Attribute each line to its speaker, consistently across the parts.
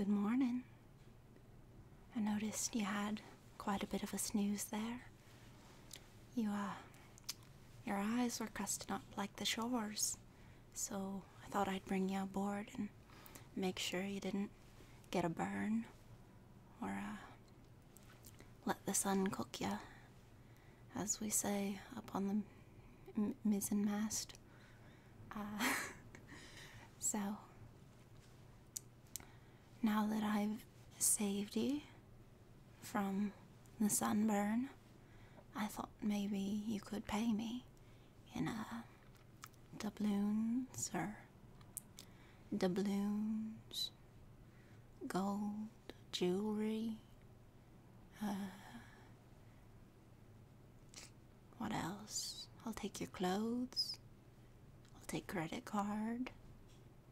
Speaker 1: Good morning. I noticed you had quite a bit of a snooze there. You, uh, your eyes were custom up like the shores, so I thought I'd bring you aboard and make sure you didn't get a burn or, uh, let the sun cook you, as we say upon the mizzen mast. Uh, so, now that I've saved you from the sunburn, I thought maybe you could pay me in a uh, doubloons or doubloons, gold, jewelry, uh, what else? I'll take your clothes. I'll take credit card.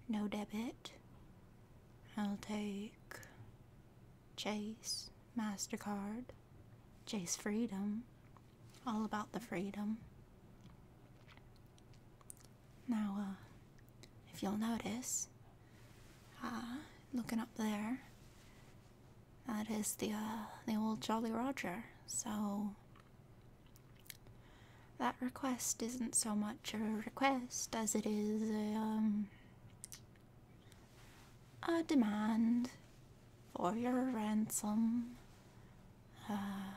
Speaker 1: No debit. I'll take Chase, MasterCard, Chase Freedom. All about the freedom. Now, uh, if you'll notice, uh, looking up there, that is the uh, the old Jolly Roger. So that request isn't so much a request as it is a, um, a demand for your ransom. Uh,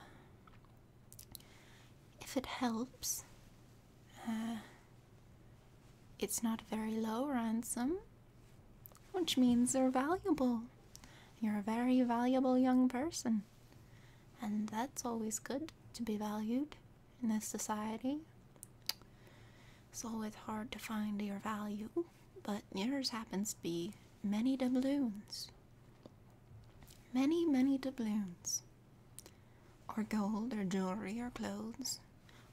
Speaker 1: if it helps, uh, it's not a very low ransom. Which means you are valuable. You're a very valuable young person. And that's always good to be valued in this society. It's always hard to find your value, but yours happens to be many doubloons. Many, many doubloons. Or gold, or jewelry, or clothes,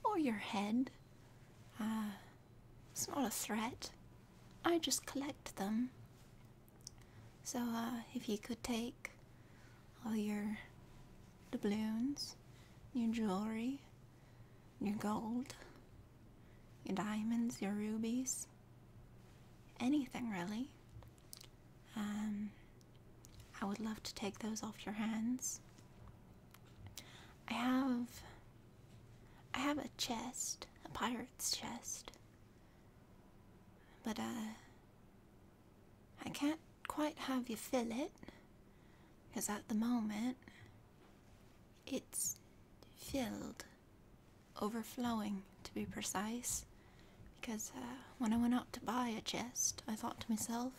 Speaker 1: or your head. Ah, it's not a threat. I just collect them. So, uh, if you could take all your doubloons, your jewelry, your gold, your diamonds, your rubies, anything really, um, I would love to take those off your hands. I have I have a chest, a pirate's chest. But uh, I can't quite have you fill it because at the moment it's filled overflowing to be precise because uh, when I went out to buy a chest I thought to myself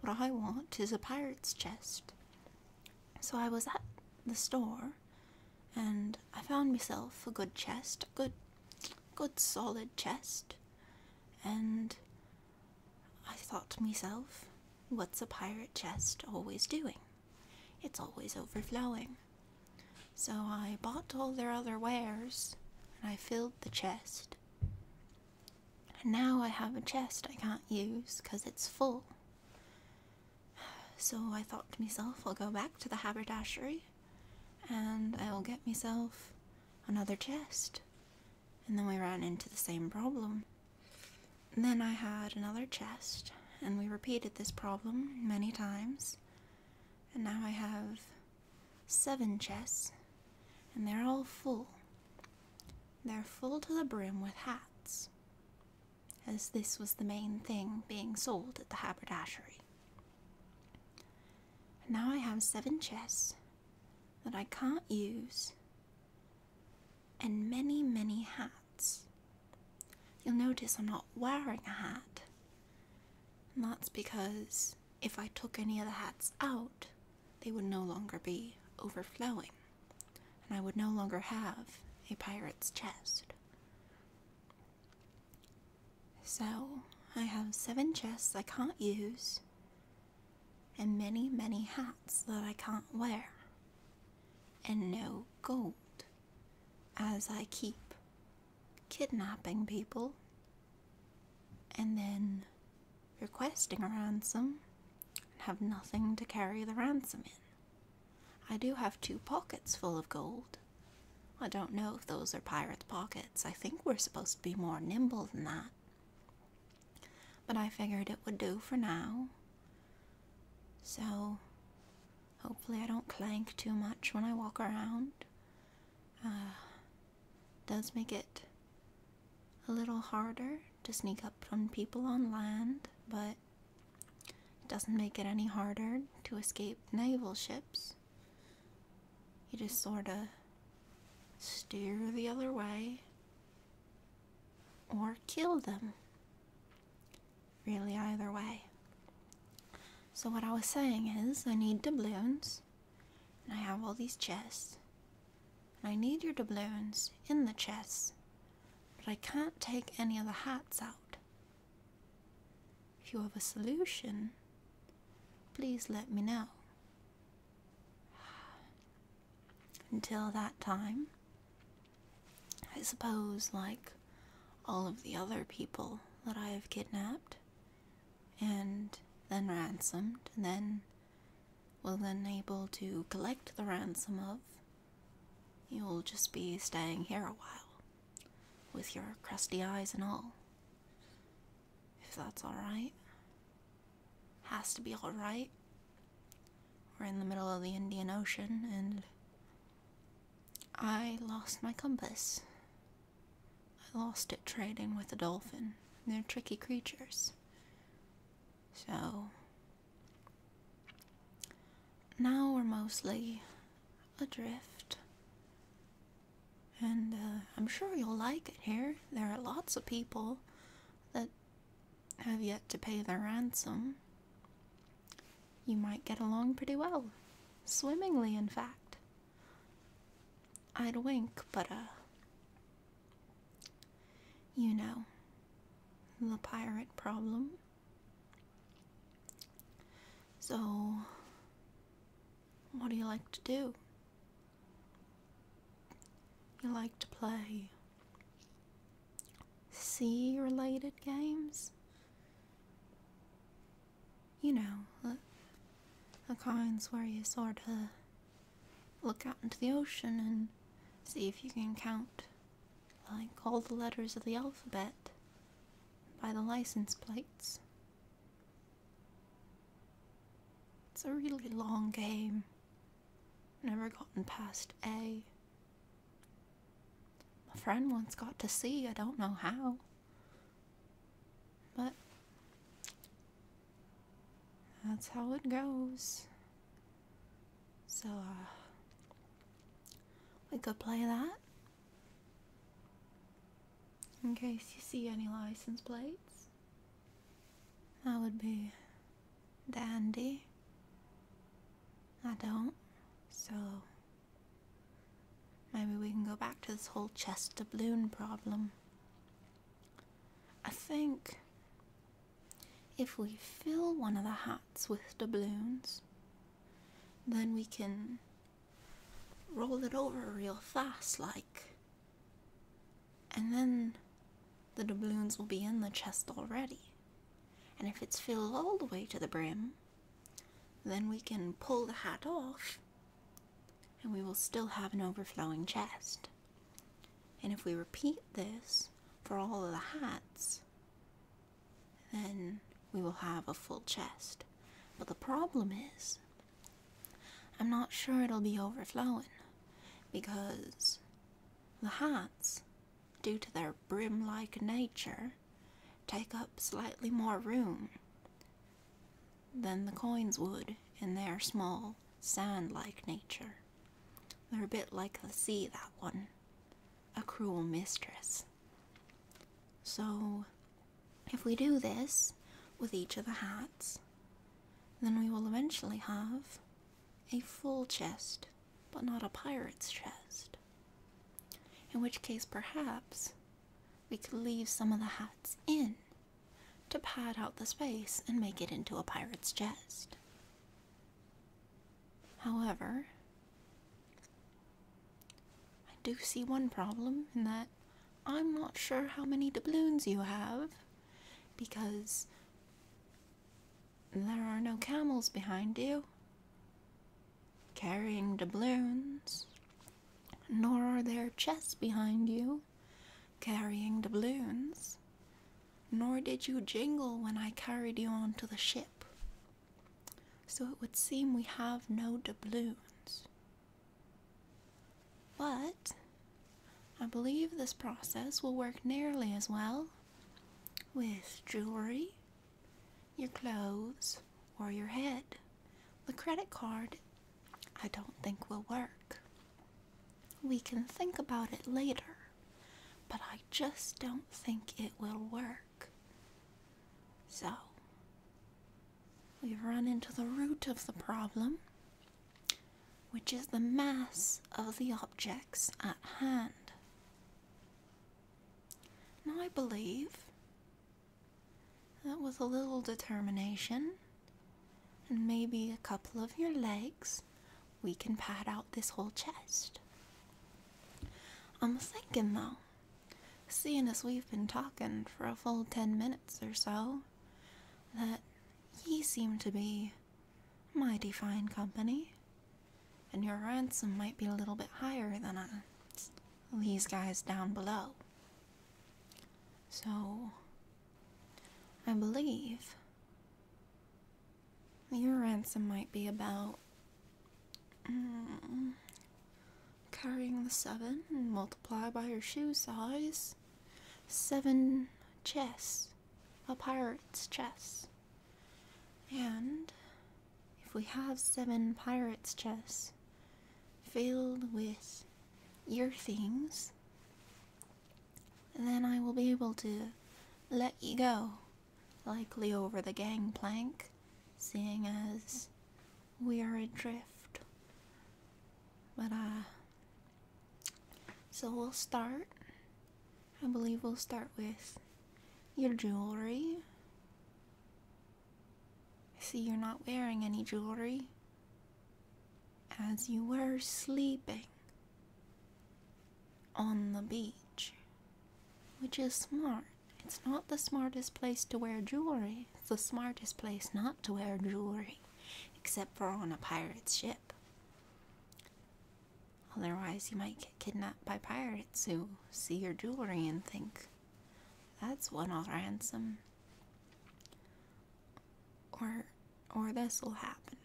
Speaker 1: what I want is a pirate's chest so I was at the store and I found myself a good chest, a good good solid chest. And I thought to myself, what's a pirate chest always doing? It's always overflowing. So I bought all their other wares and I filled the chest. And now I have a chest I can't 'cause it's full. So I thought to myself, I'll go back to the haberdashery and I'll get myself another chest. And then we ran into the same problem. then I had another chest, and we repeated this problem many times. And now I have seven chests, and they're all full. They're full to the brim with hats, as this was the main thing being sold at the haberdashery. And now I have seven chests that I can't use, and many, many hats. You'll notice I'm not wearing a hat, and that's because if I took any of the hats out, they would no longer be overflowing, and I would no longer have a pirate's chest. So, I have seven chests I can't use, and many, many hats that I can't wear, and no gold, as I keep kidnapping people and then requesting a ransom and have nothing to carry the ransom in. I do have two pockets full of gold. I don't know if those are pirates' pockets. I think we're supposed to be more nimble than that. But I figured it would do for now. So hopefully I don't clank too much when I walk around. Uh, does make it a little harder to sneak up on people on land, but it doesn't make it any harder to escape naval ships. You just sort of steer the other way or kill them. Really, either way. So, what I was saying is, I need doubloons, and I have all these chests, I need your doubloons in the chest, but I can't take any of the hats out. If you have a solution, please let me know. Until that time, I suppose, like all of the other people that I have kidnapped and then ransomed and then We'll then able to collect the ransom of, you'll just be staying here a while, with your crusty eyes and all. If that's alright. Has to be alright. We're in the middle of the Indian Ocean and I lost my compass. I lost it trading with a dolphin. They're tricky creatures. So now we're mostly adrift. And uh, I'm sure you'll like it here. There are lots of people that have yet to pay their ransom. You might get along pretty well. Swimmingly, in fact. I'd wink, but uh, you know, the pirate problem. So, what do you like to do? You like to play sea related games? You know, the, the kinds where you sort of look out into the ocean and see if you can count like all the letters of the alphabet by the license plates. It's a really long game. Never gotten past A. My friend once got to C, I don't know how. But that's how it goes. So, uh, we could play that. In case you see any license plates, that would be dandy. I don't, so maybe we can go back to this whole Chester Balloon problem. I think if we fill one of the hats with doubloons, then we can roll it over real fast like. And then the doubloons will be in the chest already. And if it's filled all the way to the brim, then we can pull the hat off and we will still have an overflowing chest. And if we repeat this for all of the hats, then we will have a full chest. But the problem is, I'm not sure it'll be overflowing because the hats, due to their brim like nature, take up slightly more room than the coins would in their small, sand like nature. They're a bit like the sea, that one. A cruel mistress. So, if we do this with each of the hats, then we will eventually have a full chest, but not a pirate's chest. In which case, perhaps we could leave some of the hats in to pad out the space and make it into a pirate's chest. However, I do see one problem in that I'm not sure how many doubloons you have because there are no camels behind you carrying doubloons, nor are there chests behind you carrying the balloons, nor did you jingle when I carried you on to the ship. So it would seem we have no doubloons. But I believe this process will work nearly as well with jewelry, your clothes, or your head. The credit card, I don't think will work. We can think about it later, but I just don't think it will work. So, we've run into the root of the problem, which is the mass of the objects at hand. Now, I believe that with a little determination and maybe a couple of your legs, we can pad out this whole chest. I'm thinking though, seeing as we've been talking for a full ten minutes or so, that ye seem to be mighty fine company, and your ransom might be a little bit higher than uh, these guys down below. So, I believe your ransom might be about mm, carrying the seven and multiply by your shoe size. Seven chests, a pirate's chest. And if we have seven pirate's chests filled with your things, then I will be able to let you go, likely over the gangplank, seeing as we are adrift. But, uh, so we'll start. I believe we'll start with your jewelry. I see you're not wearing any jewelry as you were sleeping on the beach, which is smart. It's not the smartest place to wear jewelry, it's the smartest place not to wear jewelry, except for on a pirate's ship. Otherwise, you might get kidnapped by pirates who see your jewelry and think, that's one i ransom or or this will happen.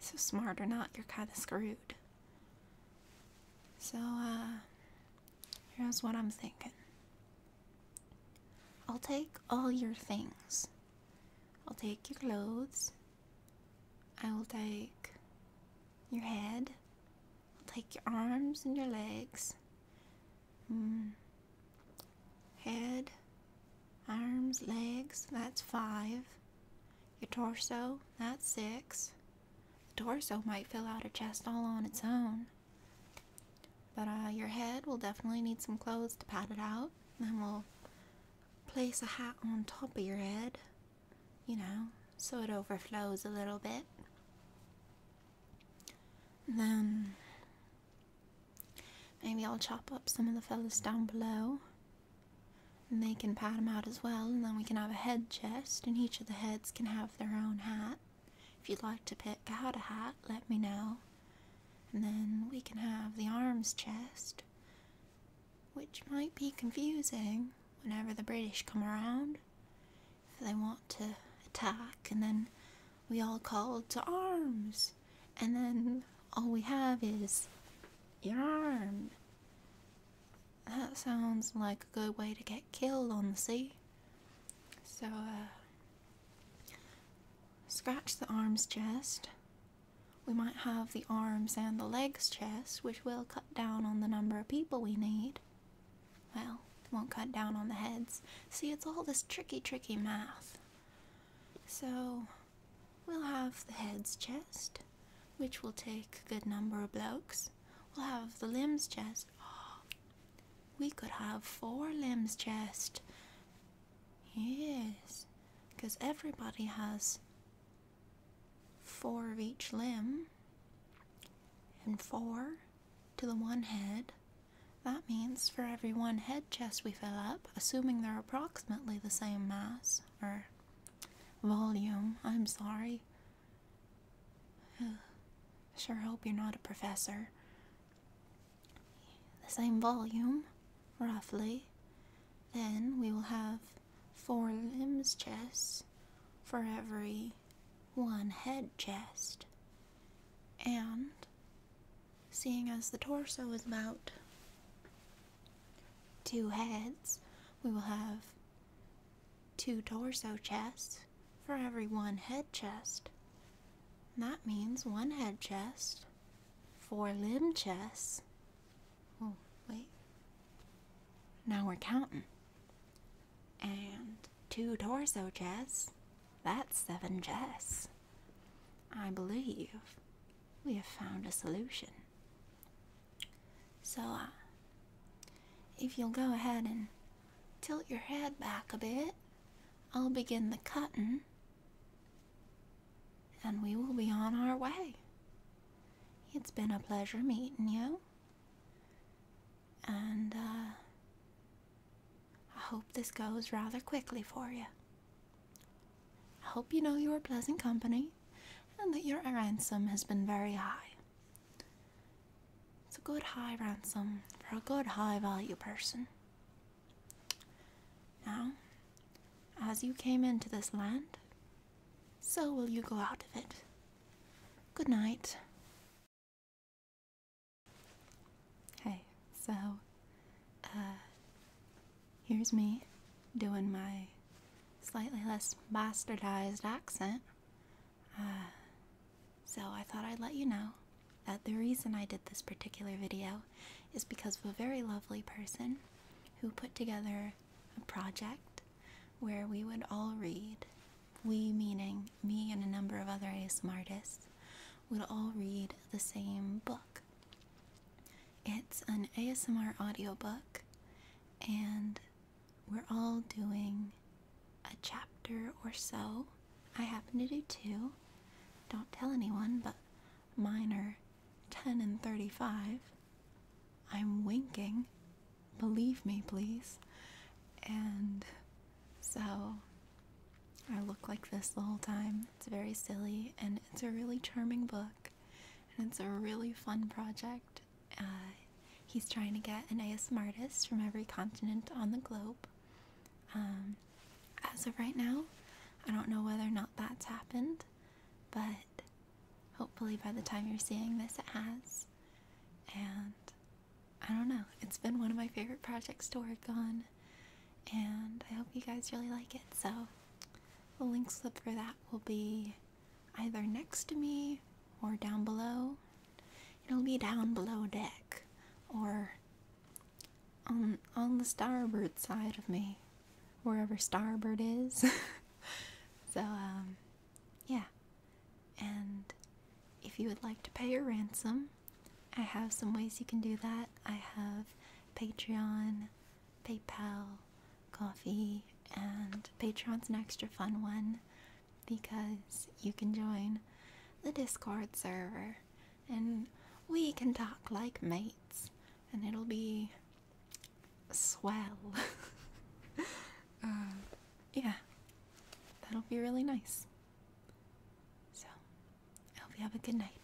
Speaker 1: So smart or not, you're kind of screwed. So uh here's what I'm thinking. I'll take all your things. I'll take your clothes. I will take your head. I'll take your arms and your legs. Mm. Head, arms, legs, that's five. Your torso, that's six. The torso might fill out a chest all on its own. But uh, your head will definitely need some clothes to pat it out. Then we'll place a hat on top of your head, you know, so it overflows a little bit. then Maybe I'll chop up some of the fellows down below. And they can pat them out as well, and then we can have a head chest, and each of the heads can have their own hat. If you'd like to pick out a hat, let me know. And then we can have the arms chest, which might be confusing whenever the British come around. If they want to attack, and then we all called to arms, and then all we have is your arm. That sounds like a good way to get killed on the sea. So, uh, scratch the arms chest. We might have the arms and the legs chest, which will cut down on the number of people we need. Well, won't cut down on the heads. See, it's all this tricky, tricky math. So we'll have the head's chest, which will take a good number of blokes. We'll have the limbs chest. we could have four limbs chest. Yes, because everybody has four of each limb and four to the one head that means for every one head chest we fill up, assuming they're approximately the same mass, or volume, I'm sorry. Sure hope you're not a professor. The same volume, roughly. Then we will have four limbs chests for every one head chest. And Seeing as the torso is about two heads, we will have two torso chests for every one head chest. that means one head chest, four limb chests. Oh, wait. Now we're counting. And two torso chests. That's seven chests. I believe we have found a solution. So, uh, if you'll go ahead and tilt your head back a bit, I'll begin the cutting and we will be on our way. It's been a pleasure meeting you. And uh, I hope this goes rather quickly for you. I hope you know you are pleasant company and that your ransom has been very high. It's a good high ransom for a good high value person. Now, as you came into this land, so will you go out of it. Good night. Hey, so, uh, here's me doing my slightly less bastardized accent. Uh, so I thought I'd let you know that the reason I did this particular video is because of a very lovely person who put together a project where we would all read, we meaning me and a number of other ASM artists, would all read the same book. It's an ASMR audio book, and we're all doing a chapter or so. I happen to do two. Don't tell anyone, but mine are 10 and 35. I'm winking. Believe me, please. And so I look like this the whole time. It's very silly, and it's a really charming book, and it's a really fun project. Uh, he's trying to get an ASM artist from every continent on the globe. Um, as of right now, I don't know whether or not that's happened, but hopefully by the time you're seeing this, it has. And I don't know. It's been one of my favorite projects to work on, and I hope you guys really like it. So, the link slip for that will be either next to me or down below. It'll be down below deck or on on the starboard side of me, wherever starboard is. so, um, yeah. And if you would like to pay your ransom, I have some ways you can do that. I have Patreon, PayPal, Coffee, and Patreon's an extra fun one because you can join the Discord server and we can talk like mates and it'll be swell. Uh, yeah, that'll be really nice. So, I hope you have a good night.